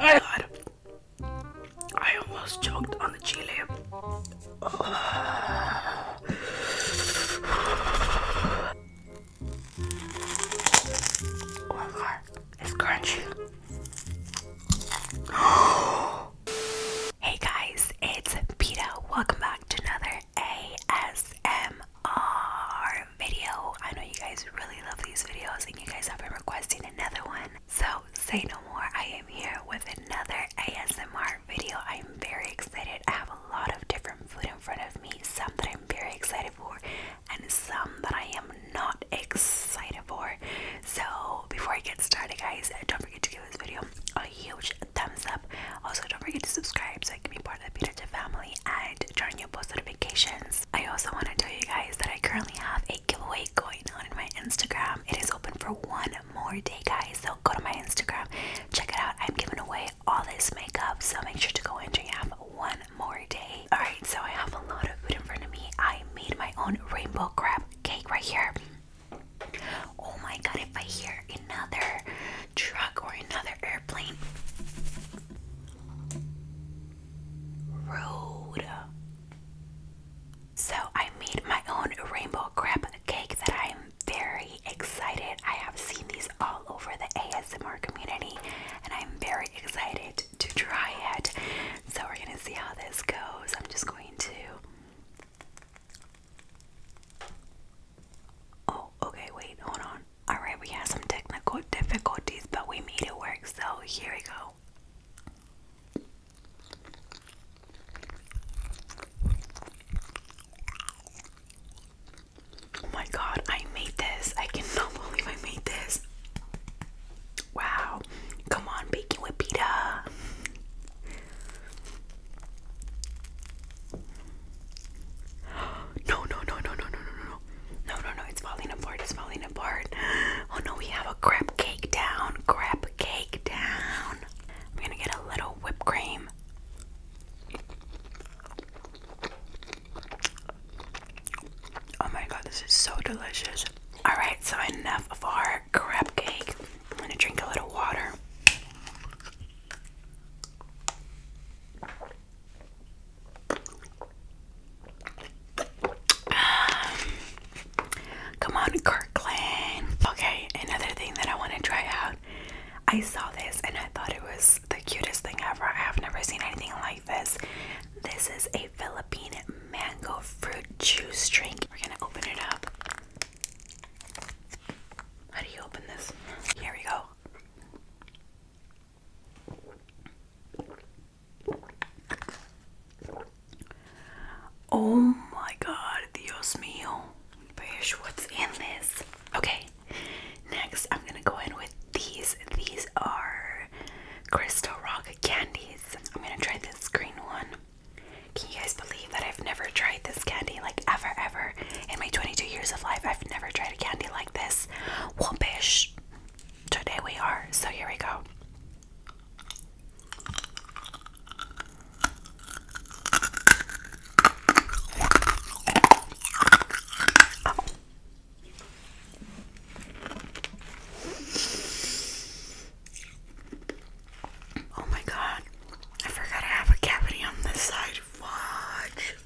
God. I almost choked on the chili. Oh it's crunchy. Oh, Hey guys, it's Peta. Welcome back to another ASMR video. I know you guys really love these videos and you guys have been requesting another one. So say no more. I am here with another ASMR video. I'm very excited. I have a lot of different food in front of me. Some that I'm very excited for and some that I am not excited for. So before I get started, guys, don't forget to give this video a huge thumbs up. Also, don't forget to subscribe so I can be part of the Peter family and turn your post notifications. I also want to tell you guys that I currently have a giveaway going on in my Instagram. It is open for one more day, guys. So go to my Instagram, check it out. I'm giving away all this makeup, so make sure to go in and have one more day. Alright, so I have a lot of food in front of me. I made my own rainbow crab cake right here. Oh my god, if I hear another truck or another airplane. Road. So I made my own rainbow crab cake that I'm very excited. I have seen these all over the ASMR community and I'm very excited to dry it. So we're gonna see how this goes. I'm just going to. Oh, okay, wait, hold on. Alright, we had some technical difficulties, but we made it work, so here we go. Oh my god, I made this. I cannot believe I made this. Wow. Come on, baking with pita. No, no, no, no, no, no, no, no. No, no, no, it's falling apart. It's falling apart. Oh no, we have a crab cake down. Crab cake down. I'm gonna get a little whipped cream. Oh my god, this is so delicious. Alright, so enough of our crab cake. I'm gonna drink a little water. Um, come on, Kirkland. Okay, another thing that I want to try out. I saw this and I thought it was the cutest thing ever. I have never seen anything like this. This is a Filipino mango fruit juice drink. We're gonna open it up. How do you open this? Here we go. Oh my god, Dios mío. Bish, what's in this? Okay, next I'm gonna go in with these. These are Crystal Rock candies. I'm gonna try this green one. Can you guys believe that I've never tried this candy like ever, ever? In my 22 years of life, I've never tried a candy like this. Whoopish. Today we are. So here we go. Oh my god, I forgot I have a cavity on this side. Watch.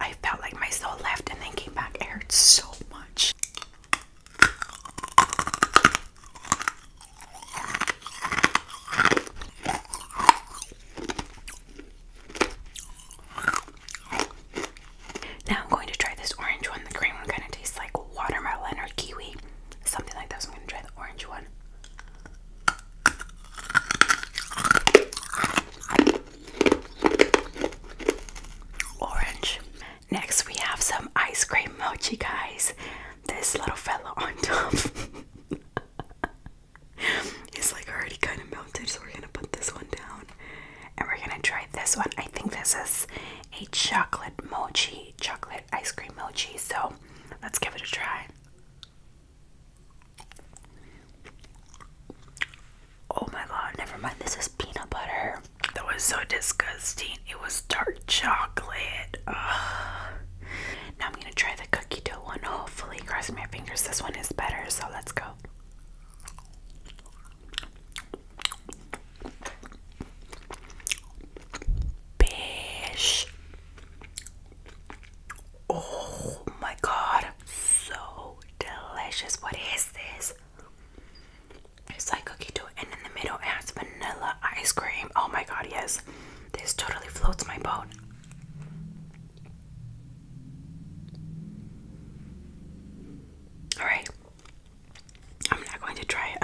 I felt like my soul left and then came back. It hurt so much. Now I'm going to try this orange one. The green one kind of tastes like watermelon or kiwi, something like that. So I'm going to try the orange one. Orange. Next, we have some ice cream mochi, guys. This little fella on top. it's like already kind of melted, so we're gonna put this one down and we're gonna try this one. I think this is a chocolate mochi, chocolate ice cream mochi, so let's give it a try. Oh my god, never mind. This is peanut butter. That was so disgusting. It was dark chocolate. Ugh gonna try the cookie dough one. Hopefully, cross my fingers, this one is better. So let's go. Bish. Oh my god, so delicious. What is this? It's like cookie dough, and in the middle it has vanilla ice cream. Oh my god, yes. This totally floats my boat. Alright, I'm not going to try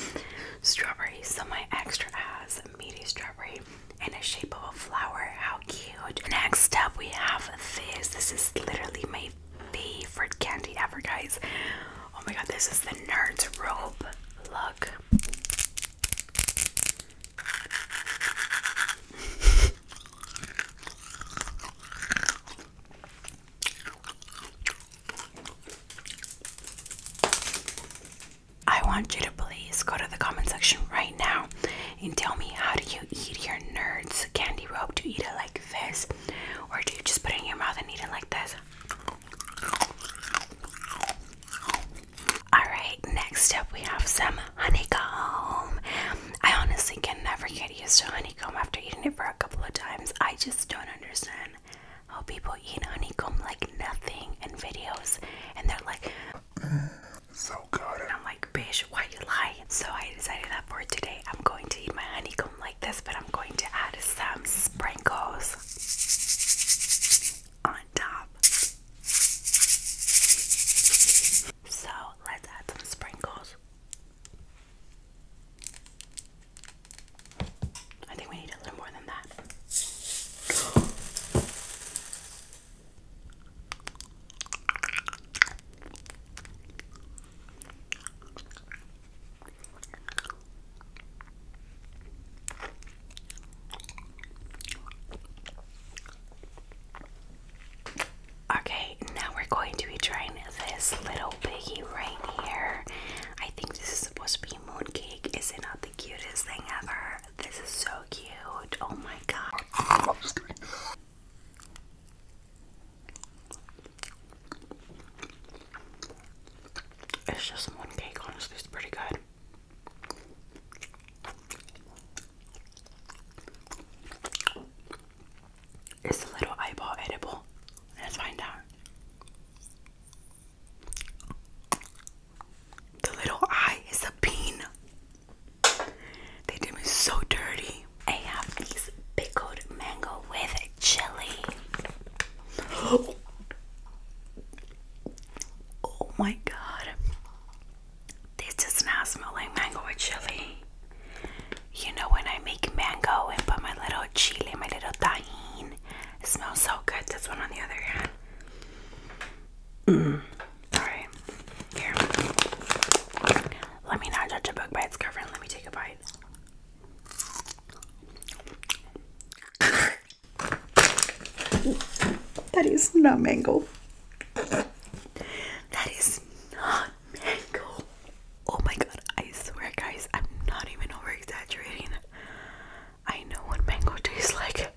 strawberry, so my extra has a meaty strawberry in a shape of a flower. How cute. Next up, we have this. This is literally my favorite candy ever, guys. Oh my god, this is the Nerds rope. Look. I want you to please go to the comment section right now and tell me how do you eat your nerds candy rope? Do you eat it like this? Or do you just put it in your mouth and eat it like this? Alright, next up we have some honeycomb. I honestly can never get used to honeycomb after eating it for a couple of times. I just don't understand how people eat honeycomb like nothing in videos and they're like, so good. And I'm like, bitch, why you lie? So I decided that for today I'm going to eat my honeycomb like this, but I'm going to add some sprinkles on top. So let's add some sprinkles. I think we need a little more than that. Okay, now we're going to be trying this little piggy right here. I think this is supposed to be mooncake. Is it not the cutest thing ever? This is so cute. Oh my god. It's just mooncake, honestly, it's pretty good. Is the little eyeball edible? Let's find out. The little eye is a bean. They did me so dirty. I have these pickled mango with chili. Oh my god. This does not smell like mango or chili. You know when I make mango and put my little chili, my little tahine, it smells so good. This one on the other hand. Mm. Alright. Here. Let me not judge a book by its cover and let me take a bite. That is not mango. That is not mango. Oh my god, I swear, guys, I'm not even over exaggerating. I know what mango tastes like.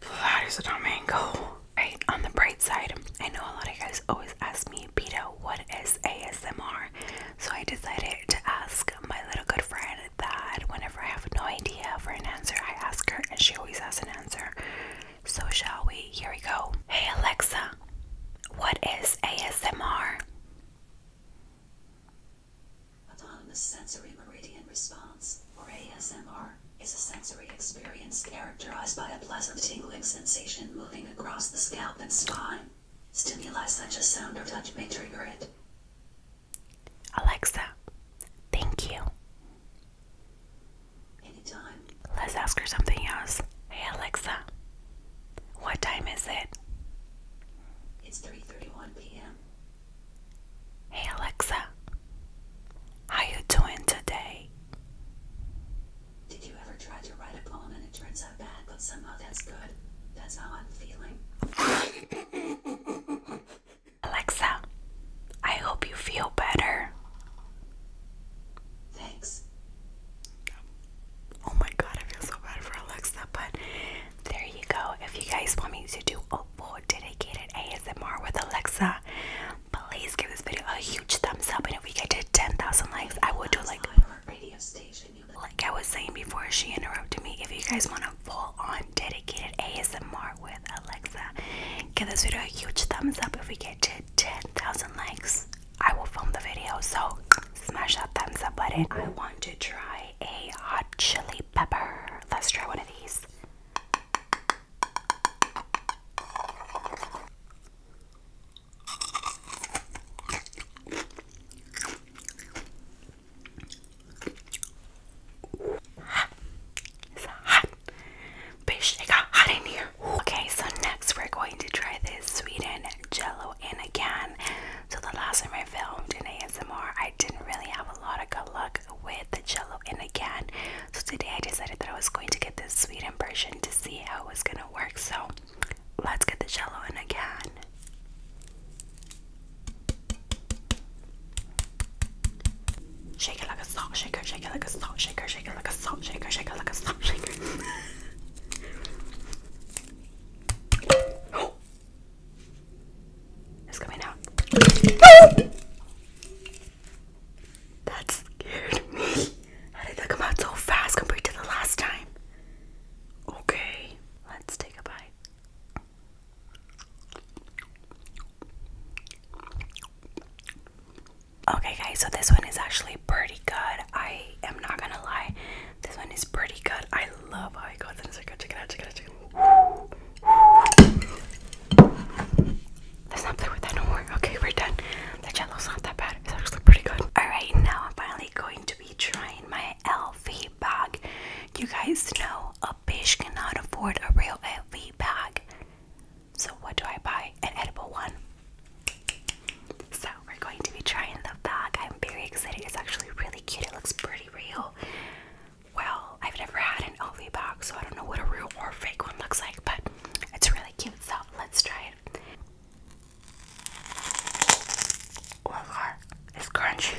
That is not mango. Right, on the bright side, I know a lot of guys always ask me, Peta, what is ASMR? So I decided to ask my little good friend that whenever I have no idea for an answer, I ask her, and she always has an answer. So, shall we? Here we go. Hey, Alexa, what is ASMR? Autonomous Sensory Meridian Response, or ASMR, is a sensory experience characterized by a pleasant tingling sensation moving across the scalp and spine. Stimuli such as sound or touch may trigger it. Alexa, thank you. Anytime. Let's ask her something else. Hey Alexa, what time is it? It's 3:31 p.m. Hey Alexa, how you doing today? Did you ever try to write a poem and it turns out bad, but somehow that's good? That's how I'm feeling. Alexa, I hope you feel better. Thanks. Oh my god, I feel so bad for Alexa, but there you go. If you guys want me to do a full dedicated ASMR with Alexa, please give this video a huge thumbs up. And if we get to 10,000 likes, I will do like radio station. Like I was saying before, she interrupted me. If you guys want a full on dedicated ASMR with Alexa. Give this video a huge thumbs up if we get to 10,000 likes. I will film the video, so smash that thumbs up button. I want to try a hot chili pepper. Let's try one of these. It's hot. Bitch, it got hot in here. Okay, so next we're going to try this Sweden Jello, and again, so the last time I filmed in ASMR, I didn't really have a lot of good luck with the Jello, and again, so today I decided that I was going to get this Sweden version to see how it was gonna work. So let's get the Jello in again. Shake it like a salt shaker, shake it like a salt shaker, shake it like a salt shaker, shake it like a salt shaker. It's coming out. that scared me. How did that come out so fast compared to the last time? Okay, let's take a bite. Okay, guys, so this one is actually pretty good. I am not gonna lie, this one is pretty good. I love how it goes in a circle. Check it out, check it out, check it out. Let's not play with that no more. Okay, we're done. The jello's not that bad, it's actually pretty good. Alright, now I'm finally going to be trying my LV bag. You guys know a bitch cannot afford a real LV bag. So, what do I buy? An edible one. So, we're going to be trying the bag. I'm very excited. It's actually really cute. It looks pretty real. Well, I've never had an LV bag, so I don't know what a real or fake one looks like, but it's really cute. So, let's try it. Look, oh it's crunchy.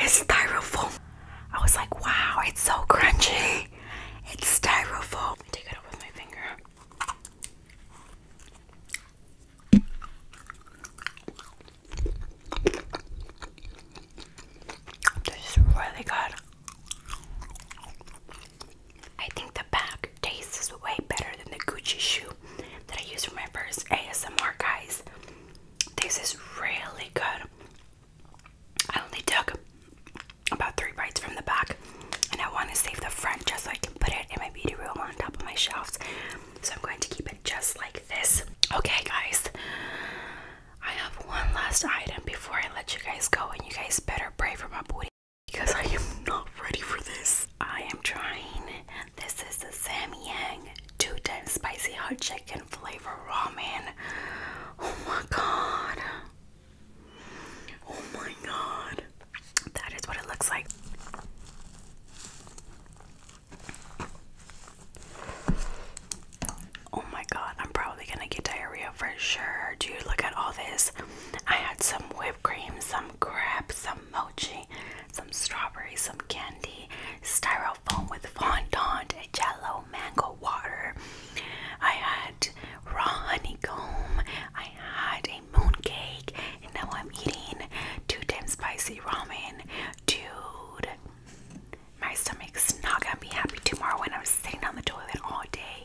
It's styrofoam. I was like, wow, it's so crunchy. It's styrofoam. Let me take it up with my finger. This is really good. I think the bag tastes way better than the Gucci shoe that I used for my first ASMR, guys. This is really good. I only took about three bites from the back, and I want to save the front just so I can put it in my beauty room on top of my shelves. So I'm going to keep it just like this. Okay, guys, I have one last item before I let you guys go, and you guys better pray for my booty because I am not ready for this. I am trying. This is the Samyang two times spicy hot chicken flavor ramen. Oh my god. Oh my god. That is what it looks like. Oh my god, I'm probably gonna get diarrhea for sure. Dude, look at all this. I had some whipped cream, some crepe, some mochi, some strawberries, some candy, styrofoam with fondant, a jello, mango water. I had raw honeycomb. I had a mooncake, and now I'm eating two times spicy ramen. Dude, my stomach's not gonna be happy tomorrow when I'm sitting on the toilet all day.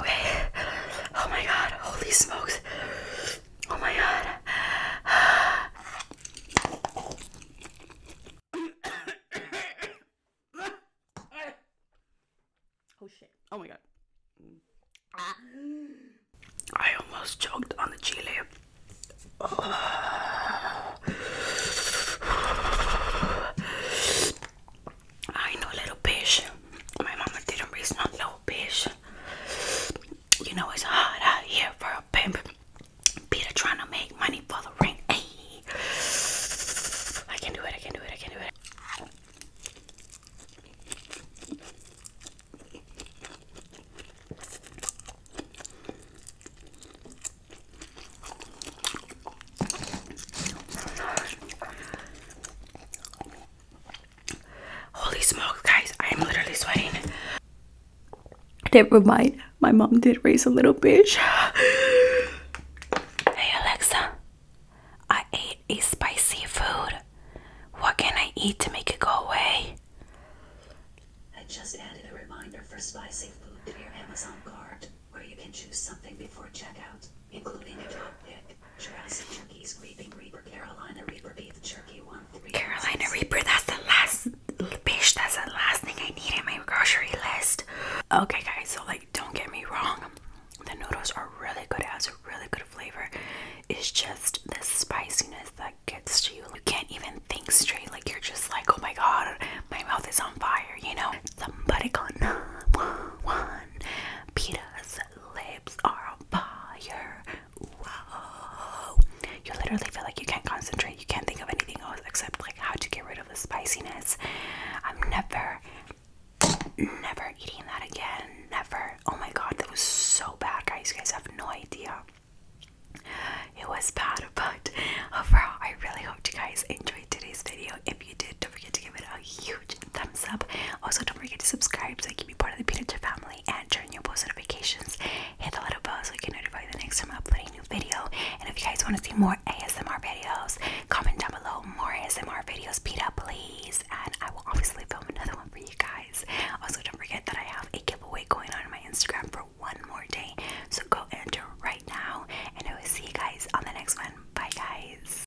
Okay. Oh my god. Holy smokes. Oh my god. oh shit. Oh my god. Mm. I almost choked on the chili. I know little bitch. My mama didn't raise no little bitch. You know it's hot out here for a pimp. Peter trying to make money for the ring. Hey, I can do it. I can do it. I can do it. Holy smokes, guys, I am literally sweating. Never mind, my mom did raise a little bitch. hey, Alexa, I ate a spicy food. What can I eat to make it go away? I just added a reminder for spicy food to your Amazon cart, where you can choose something before checkout, including a top Jurassic Turkeys, Creeping Reaper, Carolina Reaper, Beef Jerky, 1 3. Carolina Reaper, that's the last bitch, that's the last thing I need in my grocery list. Okay, guys, so like, don't get me wrong, the noodles are really good, it has a really good flavor. It's just the spiciness that gets to you. You can't even think straight, like, you're just like, oh my god, my mouth is on fire, you know? Somebody gonna one, one. Pitas those lips are on fire. You literally feel like you can't concentrate. You can't think of anything else except like how to get rid of the spiciness. I'm never, never eating that again. Never. Oh my god, that was so bad, guys. You guys have no idea. It was bad, but overall, I really hope you guys enjoyed today's video. If you did, don't forget to give it a huge thumbs up. Also, don't forget to subscribe so you can be part of the Peanutja family and turn your post notifications. Hit the little bell so you can notify the next time I upload a new video. And if you guys want to see more ASMR videos, comment down below more ASMR videos, Peta, please. And I will obviously film another one for you guys. Also, don't forget that I have a giveaway going on, on my Instagram for one more day. So go enter right now, and I will see you guys on the next one. Bye, guys.